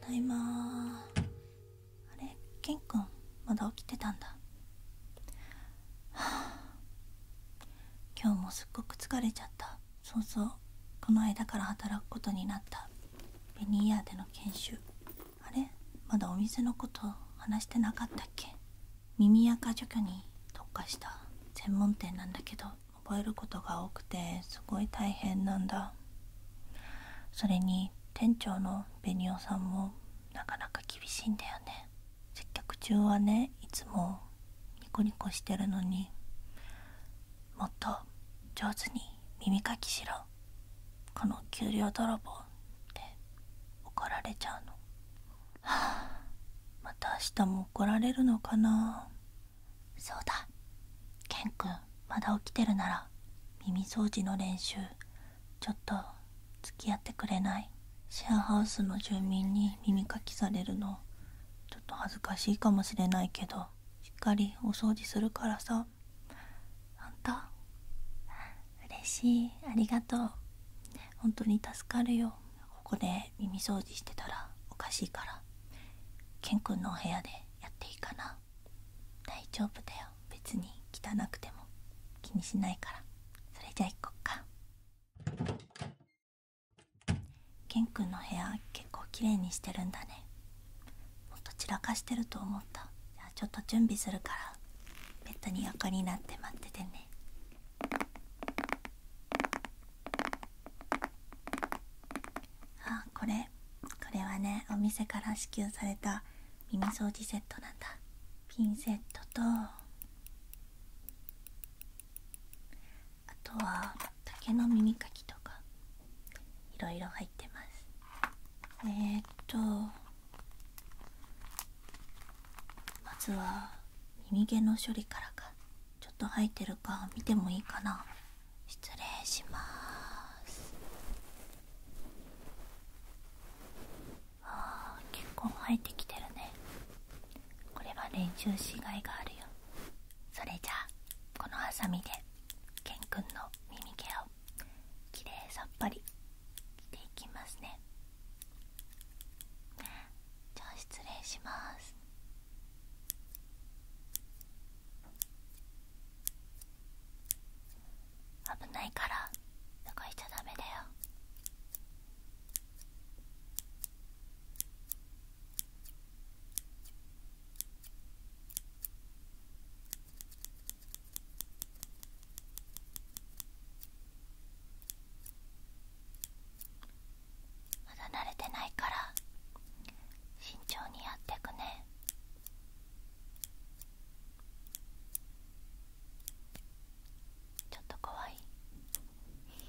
ただいまあれケンんまだ起きてたんだはあ今日もすっごく疲れちゃったそうそうこの間から働くことになったベニーヤーでの研修あれまだお店のこと話してなかったっけ耳垢除去に特化した専門店なんだけど覚えることが多くてすごい大変なんだそれに店長のベニオさんもなかなか厳しいんだよね接客中はねいつもニコニコしてるのにもっと上手に耳かきしろこの給料泥棒って怒られちゃうのは あまた明日も怒られるのかなそうだケンくんまだ起きてるなら耳掃除の練習ちょっと付き合ってくれないシェアハウスの住民に耳かきされるのちょっと恥ずかしいかもしれないけどしっかりお掃除するからさあんた嬉しいありがとう本当に助かるよここで耳掃除してたらおかしいからケンくんのお部屋でやっていいかな大丈夫だよ別に汚くても気にしないからそれじゃあ行こっかケンくんの部屋結構綺麗にしてるんだねもっと散らかしてると思ったじゃあちょっと準備するからベッドに横になって待っててねあこれこれはねお店から支給された耳掃除セットなんだピンセットとあとは竹の耳かきとかいろいろ入ってますえっとまずは耳毛の処理からかちょっと生えてるか見てもいいかな失礼しますあ結構生えてきてるねこれは練習しがいがあるよそれじゃあこのハサミでケンくんの耳毛をきれいさっぱり着ていきますねじゃあ失礼します危ないからといしちゃダメだよまだ慣れてないから慎重にやってくねちょっと怖いあ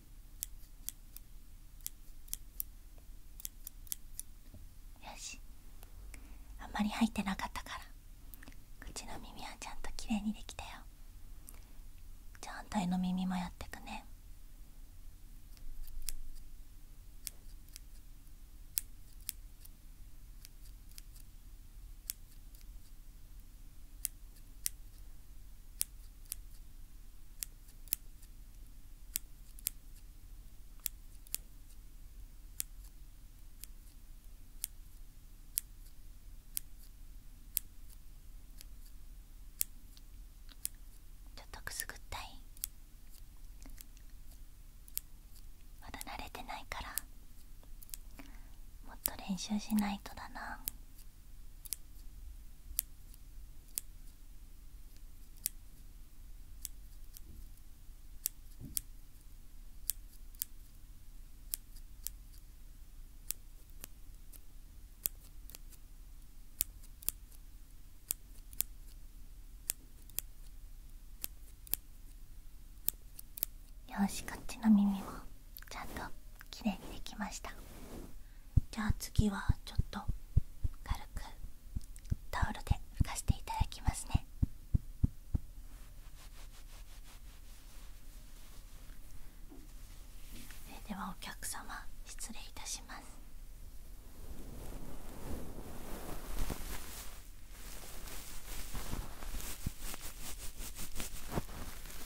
よしあんまり入ってなかったから口の耳はちゃんときれいにできたよじゃあ反対の耳もやってくねちょっとくすぐったいまだ慣れてないからもっと練習しないとだな。よしこっちの耳も。ちゃんときれにできましたじゃあ次はちょっと軽くタオルで拭かしていただきますねそれではお客様失礼いたします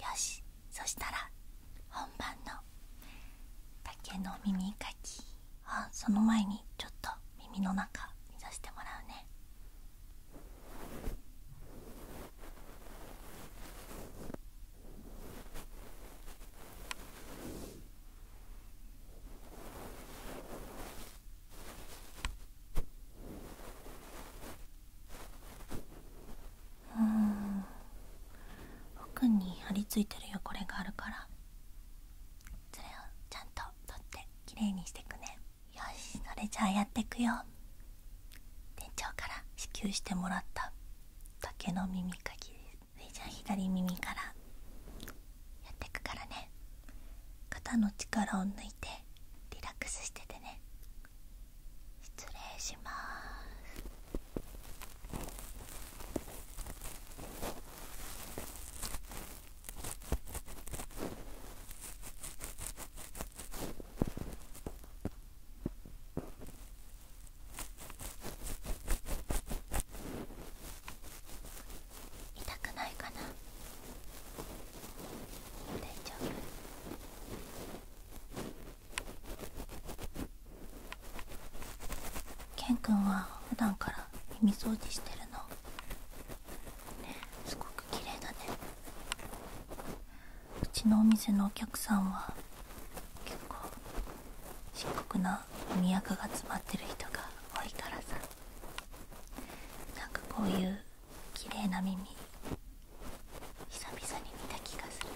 よしそしたら本番の竹の耳かきあその前にちょっと耳の中見させてもらうね。うん奥に張り付いてる汚れがあるからそれをちゃんと取ってきれいにしてくねよしそれじゃあやってくよ店長から支給してもらった竹の耳かきですそれじゃあ左耳からやってくからね肩の力を抜いてリラックスしててね失礼します痛くないかな大丈夫ケン君は普段から耳掃除してるのねすごく綺麗だねうちのお店のお客さんは結構深刻な都が詰まってる人が多いからさなんかこういうきれいな耳久々に見た気がする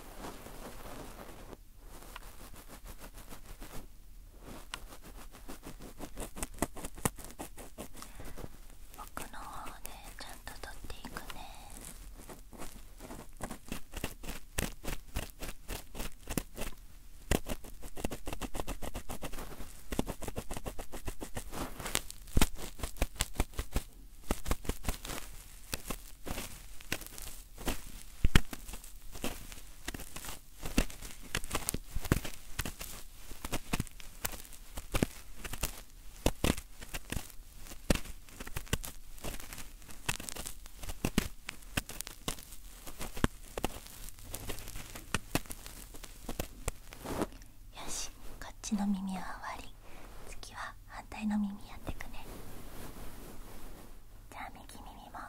奥の方でちゃんと取っていくねよしこっちの耳は終わり次は反対の耳やってくねじゃあ右耳も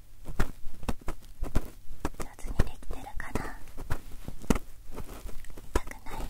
上手にできてるかな痛くない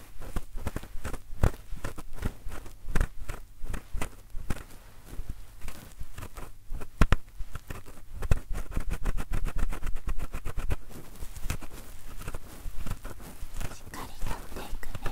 しっかりとっていくね。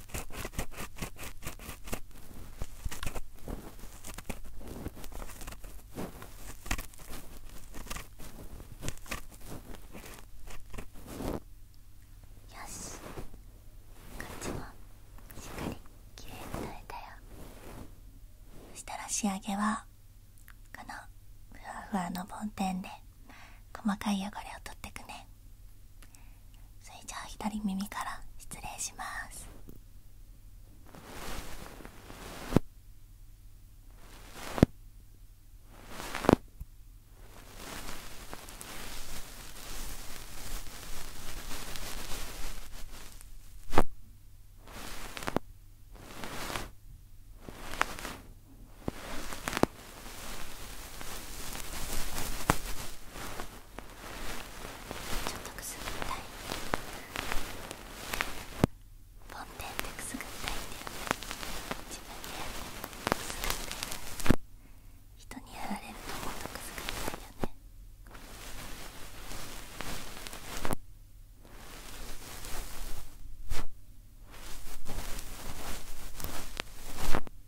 よしこっちもしっかりきれいに取れたよそしたら仕上げはこのふわふわの梵天で細かい汚れを取ってくねそれじゃあ左耳から失礼します耳ちょっとくすぐったい梵天ってくすぐったいんだよね自分でってくすぐったい人にやられるのもっとくすぐったいよねちょ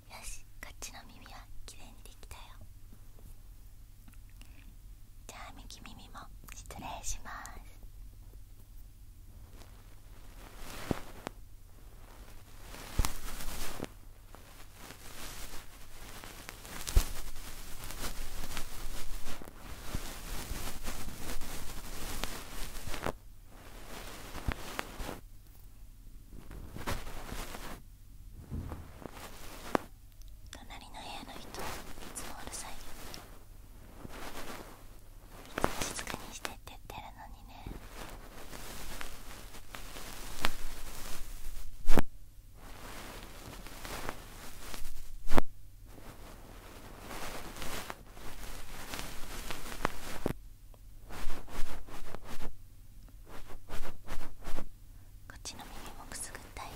よしこっちの耳はきれいにできたよじゃあ右耳も失礼します耳隣の部屋の人いつもうるさいよねい静かにしてって言ってるのにねこっちの耳もくすぐったい耳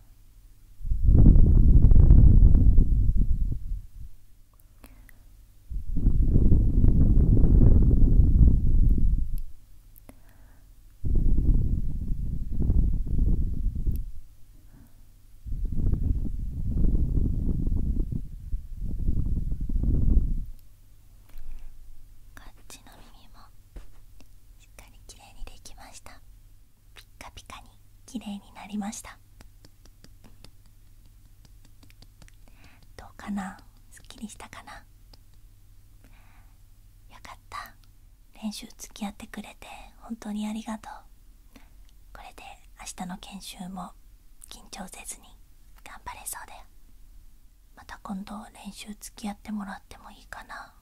こっちの耳もしっかりきれいにできました。ピッカピカに綺麗になりましたどうかなすっきりしたかなよかった練習付き合ってくれて本当にありがとうこれで明日の研修も緊張せずに頑張れそうだよまた今度練習付き合ってもらってもいいかな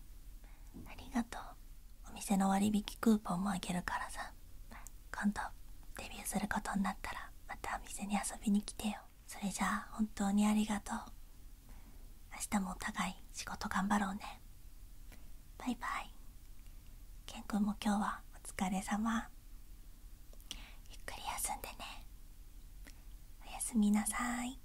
ありがとうお店の割引クーポンもあげるからさ今度デビューすることになったらまたお店に遊びに来てよそれじゃあ本当にありがとう明日もお互い仕事頑張ろうねバイバイケンくんも今日はお疲れ様ゆっくり休んでねおやすみなさい